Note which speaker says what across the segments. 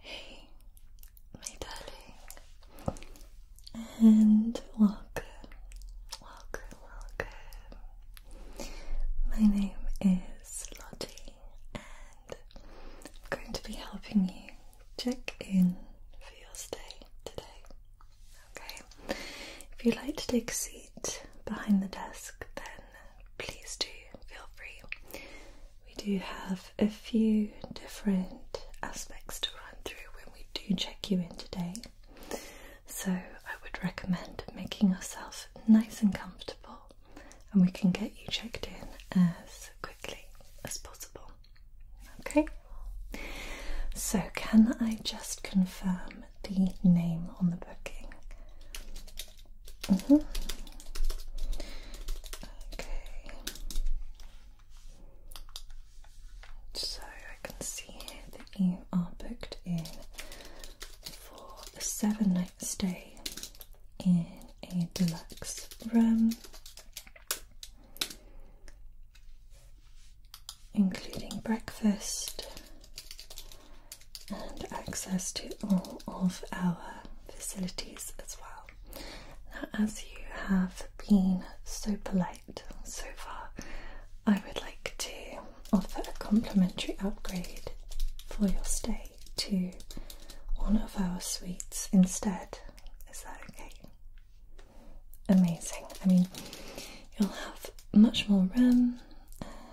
Speaker 1: Hey, my darling, and welcome, welcome, welcome. My name is Lottie. I'm going to be helping you check in for your stay today. Okay, if you'd like to take a seat behind the desk, then please do feel free. We do have a few different aspects to run through when we do check you in today, so I would recommend making yourself nice and comfortable, and we can get you checked in as as possible. Okay, so can I just confirm the name on the booking? Mm -hmm. Okay, so I can see here that you are booked in for a seven night stay in a deluxe room, including breakfast and access to all of our facilities as well. Now, as you have been so polite so far, I would like to offer a complimentary upgrade for your stay to one of our suites instead. Is that okay? Amazing. I mean, you'll have much more room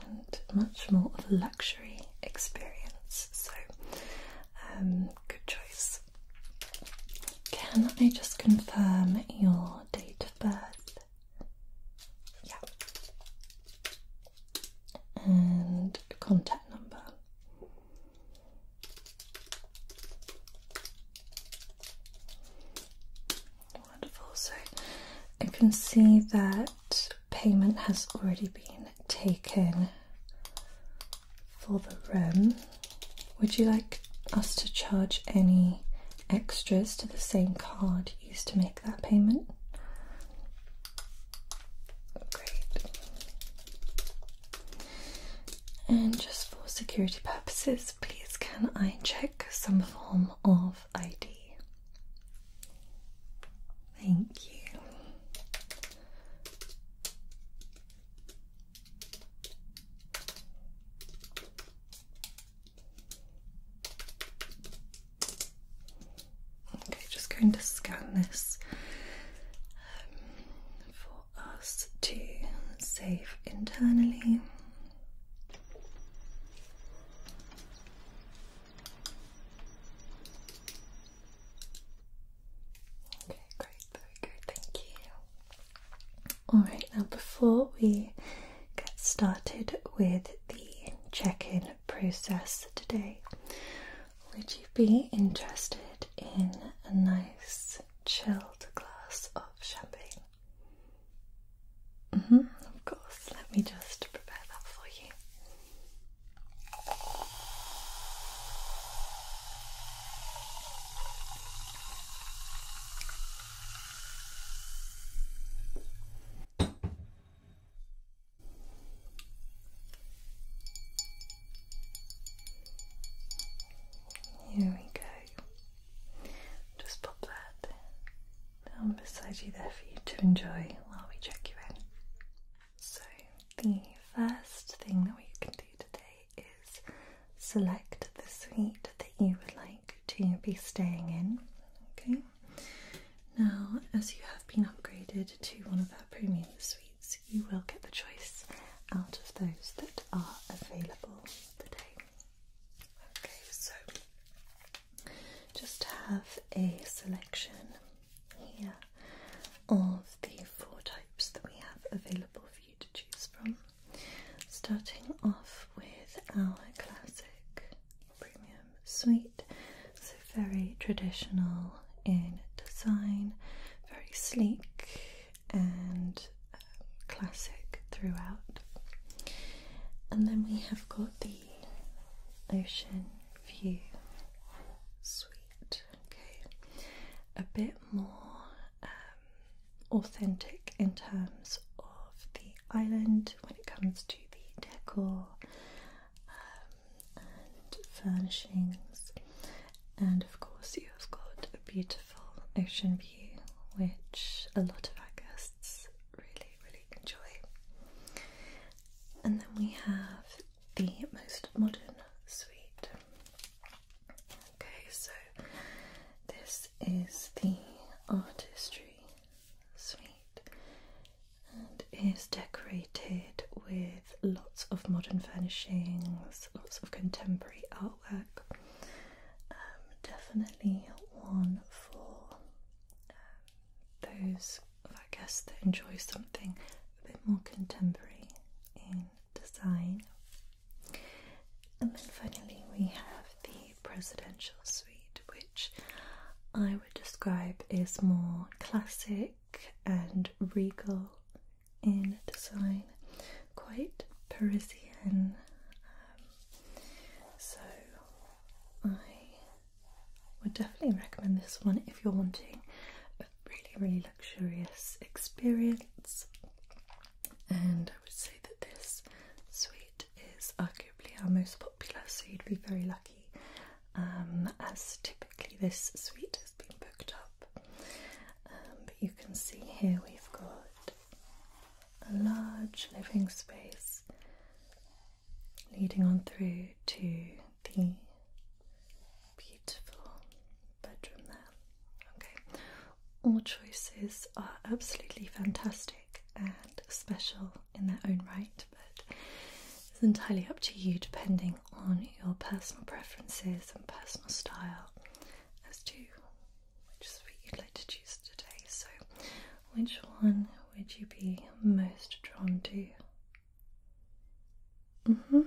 Speaker 1: and much more of a luxury experience. So, um, good choice. Can I just confirm your date of birth? Yeah. And contact number. Wonderful. So I can see that payment has already been taken for the room. Would you like us to charge any extras to the same card used to make that payment? Great. And just for security purposes, please can I check some form of ID? Thank you. Okay, just going to scan this um, for us to save internally. Okay, great, very good, thank you. Alright, now before we get started with the check in process today, would you be interested in a nice chilled glass of champagne? Mm-hmm, of course, let me just prepare that for you. Here we go. Just pop that down beside you there for you to enjoy while we check you in. So, the first thing that we can do today is select the suite that you would like to be staying in. Okay, now as you have been upgraded to one of our premium suites you will get the choice out of those that are available today. Okay, so just have a selection here of the four types that we have available for you to choose from. Starting off with our classic premium suite, so very traditional in design, very sleek and um, classic throughout. And then we have got the ocean view suite, okay, a bit more um, authentic in terms of the island when it comes to the decor. Um, and furnishings, and of course, you've got a beautiful ocean view, which a lot of our guests really, really enjoy. And then we have the most modern suite. Okay, so this is the artistry suite and is decorated with lots of modern furnishings, lots of contemporary artwork. Um, definitely one for um, those, I guess, that enjoy something a bit more contemporary in design. And then finally, we have the presidential suite, which I would describe as more classic and regal in design, quite Parisian. Um, so I would definitely recommend this one if you're wanting a really, really luxurious experience. And I would say that this suite is arguably our most popular, so you'd be very lucky. Um, as typically, this suite has booked up. Um, but you can see here we've got a large living space leading on through to the beautiful bedroom there. Okay, all choices are absolutely fantastic and special in their own right, but it's entirely up to you depending on your personal preferences and personal style as to which suite you'd like to choose today. So, which one would you be most drawn to? hmm.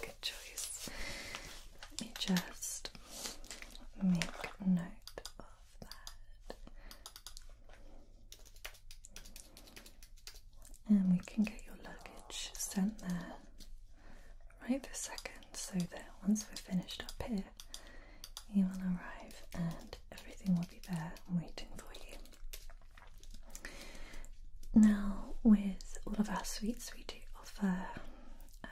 Speaker 1: good choice. Let me just make note of that and we can get your luggage sent there right this second so that once we're finished up here you will arrive and everything will be there waiting for you. Now with all of our suites we do offer um,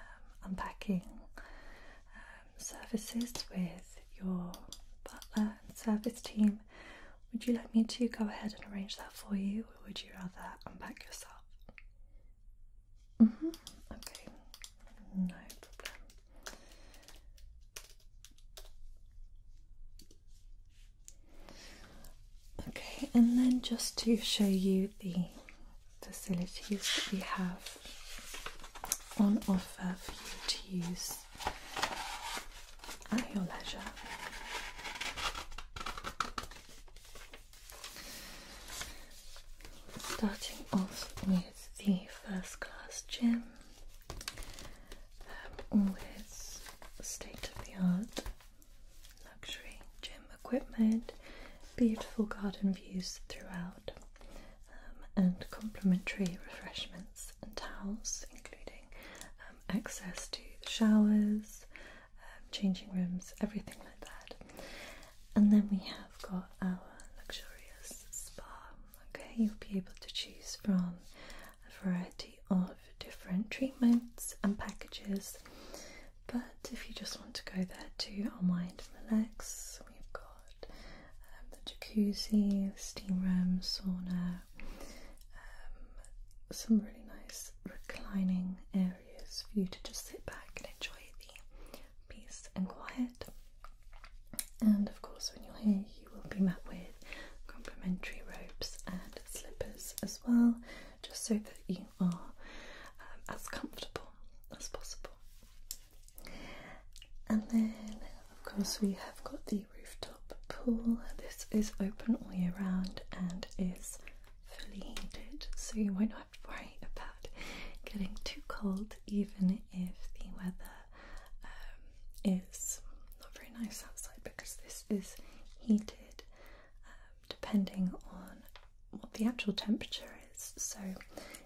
Speaker 1: unpacking um, services with your butler and service team would you like me to go ahead and arrange that for you, or would you rather unpack yourself? Mm-hmm. Okay, no problem. Okay, and then just to show you the facilities that we have on offer for you to use at your leisure. Starting off with the first class gym, um, always state of the art luxury gym equipment, beautiful garden views throughout, um, and complimentary refreshments and towels, including um, access to the showers. Um, changing rooms, everything like that. And then we have got our luxurious spa. Okay, you'll be able to choose from a variety of different treatments and packages. But if you just want to go there to unwind and relax, we've got um, the jacuzzi, steam room, sauna, um, some really nice reclining areas for you to just sit back and enjoy the peace and quiet. And of course, when you're here, you will be met with complimentary robes and slippers as well, just so that you are um, as comfortable as possible. And then, of course, we have got the rooftop pool. This is open all year round and is fully heated, so you won't have to worry about getting too cold, even if the weather um, is not very nice outside, because this is heated um, depending on what the actual temperature is. So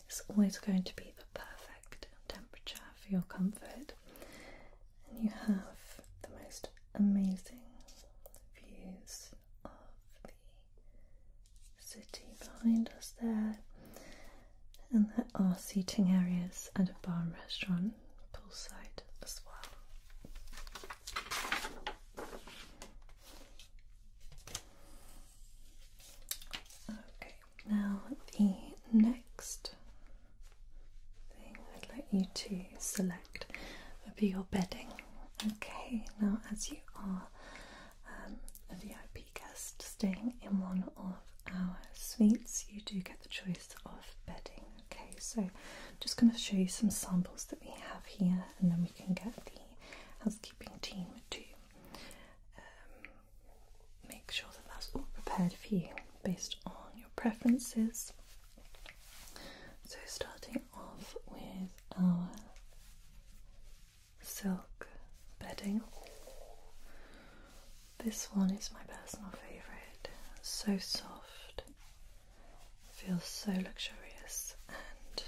Speaker 1: it's always going to be the perfect temperature for your comfort, and you have the most amazing views of the city behind us there. And there are seating areas and a bar and restaurant poolside as well. Okay, now the next thing I'd like you to select contact your bedding. Okay, now as you are um, a VIP guest staying in one of our suites, you do get the choice of bedding. Okay, so just going to show you some samples that we have here, and then we can get the housekeeping team to um, make sure that that's all prepared for you based on your preferences. So, starting off with our silk bedding. This one is my personal favourite. So soft, feels so luxurious and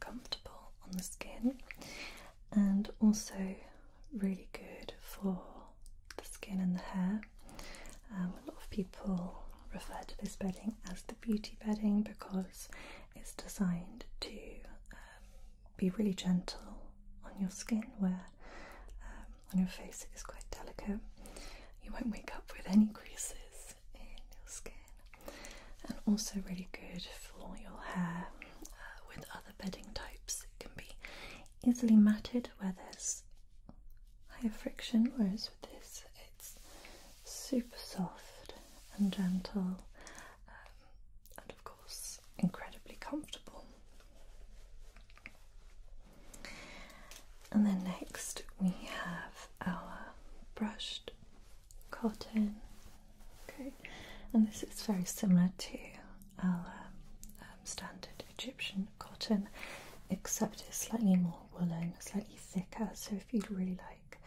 Speaker 1: comfortable on the skin, and also really good for the skin and the hair. Um, a lot of people refer to this bedding as the beauty bedding because it's designed to um, be really gentle on your skin, where um, on your face it is quite delicate. You won't wake up with any creases in your skin, and also really good for your hair. Uh, with other bedding types, it can be easily matted where there's high friction, whereas with this it's super soft and gentle um, and of course incredibly comfortable. And then next we have our brushed cotton. Okay, and this is very similar to our um, standard Egyptian cotton, except it's slightly more woolen, slightly thicker. So if you'd really like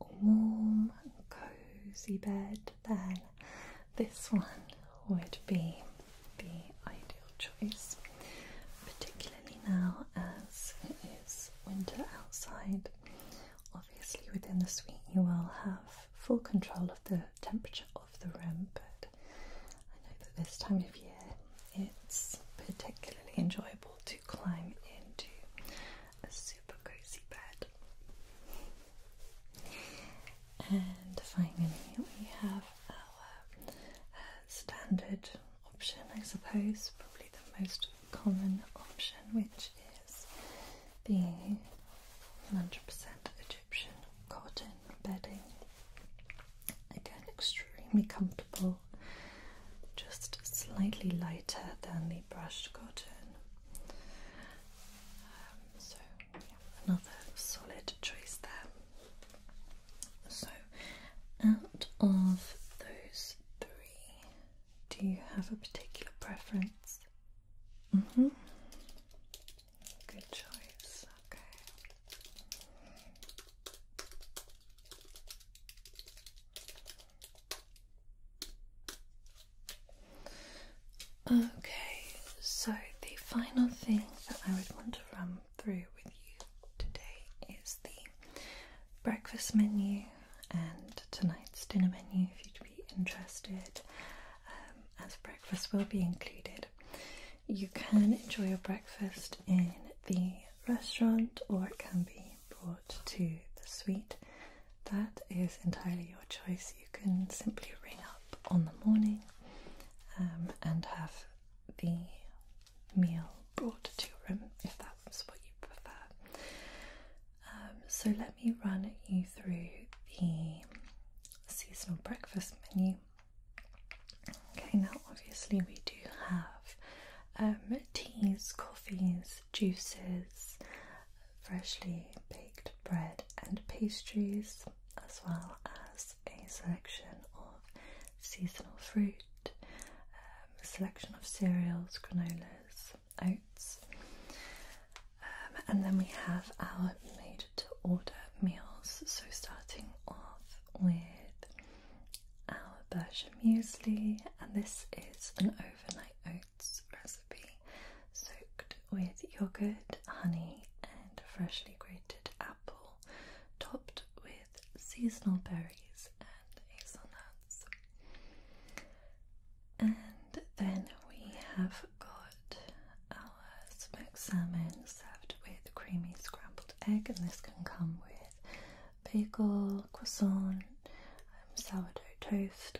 Speaker 1: a warm cozy bed, then this one would be the ideal choice, particularly now as it is winter outside. Obviously, within the suite, you will have full control of the temperature of the room, but I know that this time of year it's particularly enjoyable to climb into a super cozy bed. And finally, we have our uh, standard option, I suppose, probably the most common option, which is the 100% Egyptian cotton bedding. Again, extremely comfortable, just slightly lighter than the brushed cotton. Um, so, another solid choice there. So, out of those three, do you have a particular preference? Mm hmm. Good choice. Okay. Okay, so the final thing that I would want to run through with you today is the breakfast menu and tonight's dinner menu if you'd be interested, um, as breakfast will be included. You can enjoy your breakfast in the restaurant or it can be brought to the suite. That is entirely your choice. You can simply ring up on the morning um, and have the meal brought to your room if that's what you prefer. Um, so, let me run you through the seasonal breakfast menu. Okay, now obviously we do have um, teas, coffees, juices, freshly baked bread and pastries, as well as a selection of seasonal fruit, a um, selection of cereals, granolas, oats. Um, and then we have our made to order meals, so starting off with our Berkshire muesli, and this is an overnight oats recipe soaked with yogurt, honey, and freshly grated apple, topped with seasonal berries and hazelnuts. And then we have got our smoked salmon served with creamy scrambled egg, and this can come with with bagel, croissant, um, sourdough toast.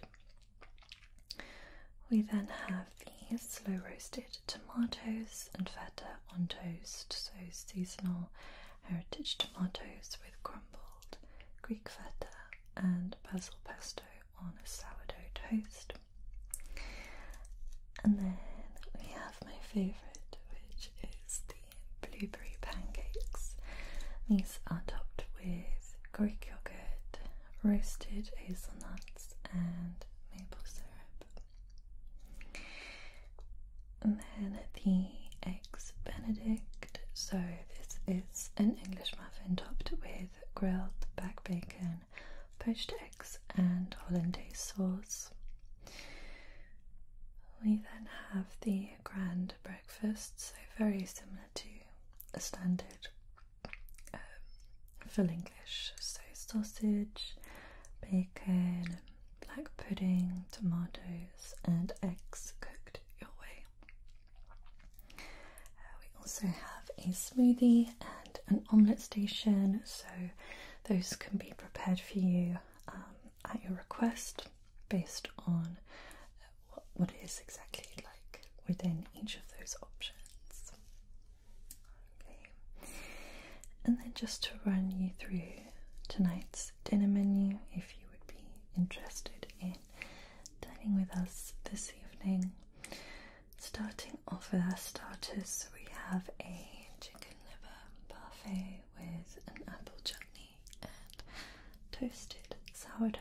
Speaker 1: We then have the slow roasted tomatoes and feta on toast, so seasonal heritage tomatoes with crumbled Greek feta and basil pesto on a sourdough toast. And then we have my favourite, which is the blueberry pancakes. These are topped with Greek yogurt, roasted hazelnuts, and maple syrup. And then the eggs benedict. So this is an English muffin topped with grilled back bacon, poached eggs, and hollandaise sauce. We then have the grand breakfast, so very similar to a standard um, full English. So sausage, bacon, black pudding, tomatoes, and eggs cooked your way. Uh, we also have a smoothie and an omelette station, so those can be prepared for you um, at your request based on what, what it is exactly like within each of those options. Okay, and then just to run you through tonight's dinner menu if you would be interested in dining with us this evening. Starting off with our starters, we have a chicken liver parfait with an apple chutney and toasted sourdough.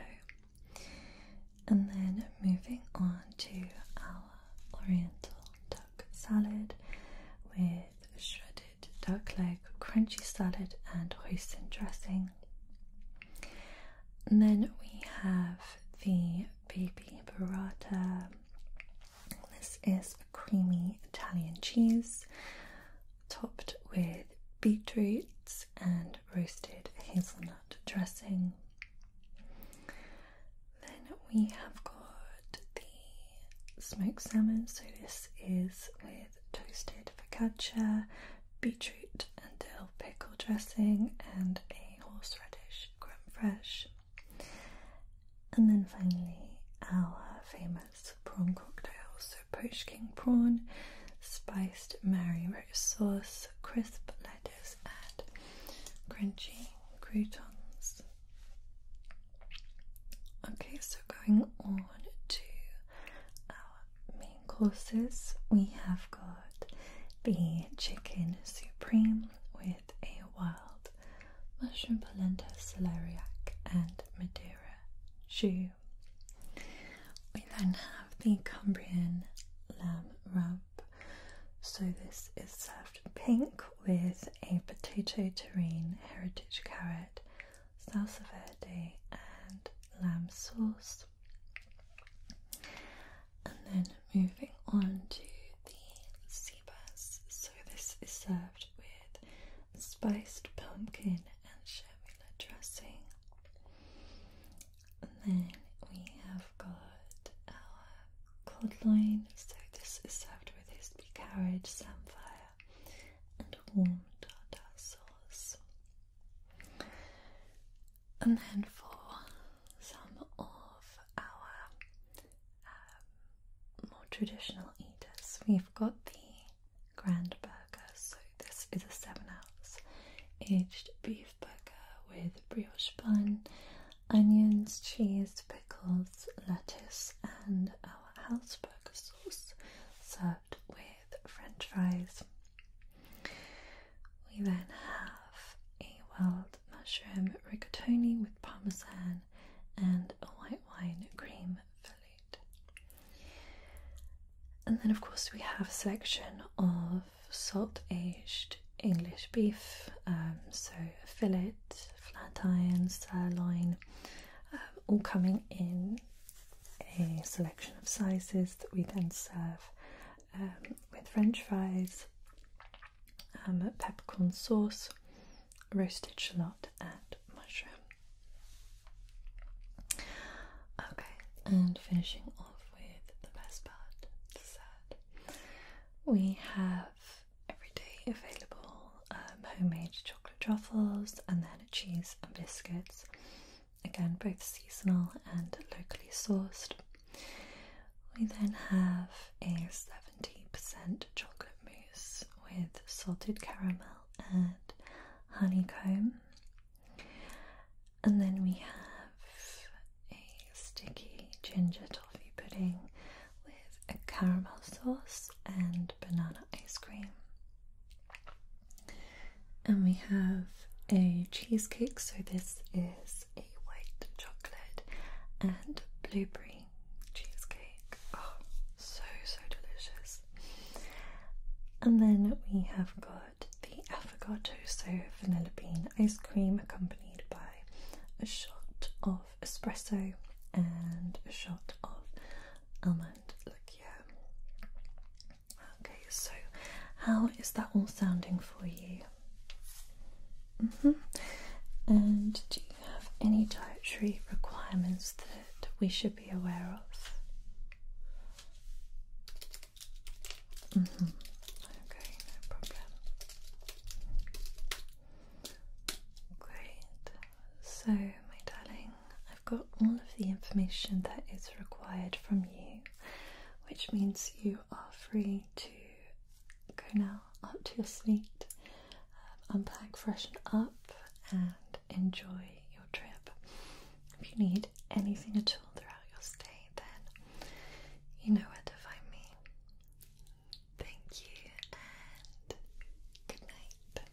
Speaker 1: And then moving on to our oriental duck salad with shredded duck leg, crunchy salad, and hoisin dressing. And then we have the baby burrata. This is a creamy Italian cheese topped with beetroots and roasted hazelnut dressing. Then we have got the smoked salmon, so this is with toasted focaccia, beetroot and dill pickle dressing, and a horseradish creme fraiche. And then finally, our famous prawn cocktail poached king prawn, spiced Mary rose sauce, crisp lettuce, and crunchy croutons. Okay, so going on to our main courses, we have got the chicken supreme with a wild mushroom polenta celeriac and Madeira jus. We then have the Cumbrian lamb rub, So this is served pink with a potato terrine, heritage carrot, salsa verde and lamb sauce. And then moving on to the sea So this is served with spiced pumpkin and shamila dressing. And then we have got our cod loin. So this is served with hispy carrot, samphire, and warm tartar sauce. And then for some of our um, more traditional eaters, we've got the grand burger. So this is a seven ounce aged beef burger with brioche bun, onions, cheese, pickles, lettuce, and our house burger sauce, served with French fries. We then have a wild mushroom rigatoni with parmesan and a white wine cream filling. And then, of course, we have a selection of salt aged English beef, um, so fillet, flat iron, sirloin, um, all coming in a selection of sizes that we then serve um, with French fries, peppercorn sauce, roast shallot, and mushroom. Okay, and finishing off with the best part, dessert. We have every day available um, homemade chocolate truffles and then cheese and biscuits. Again, both seasonal and locally sourced. We then have a 70% chocolate mousse with salted caramel honeycomb. And then we have a sticky ginger toffee pudding with a caramel sauce and banana ice cream. And we have a cheesecake, so this is a white chocolate and blueberry cheesecake. Oh, so, so delicious. And then we have got the avocado so vanilla bean ice cream accompanied by a shot of espresso and a shot of almond liqueur. Okay, so how is that all sounding for you? Mm-hmm. And do you have any dietary requirements that we should be aware of? Mm -hmm. Okay, no problem. Great. So, my darling, I've got all of the information that is required from you, which means you are free to go now up to your suite, um, unpack, freshen up, and enjoy your trip. If you need anything at all throughout your stay, then you know where to find me. Thank you and good night.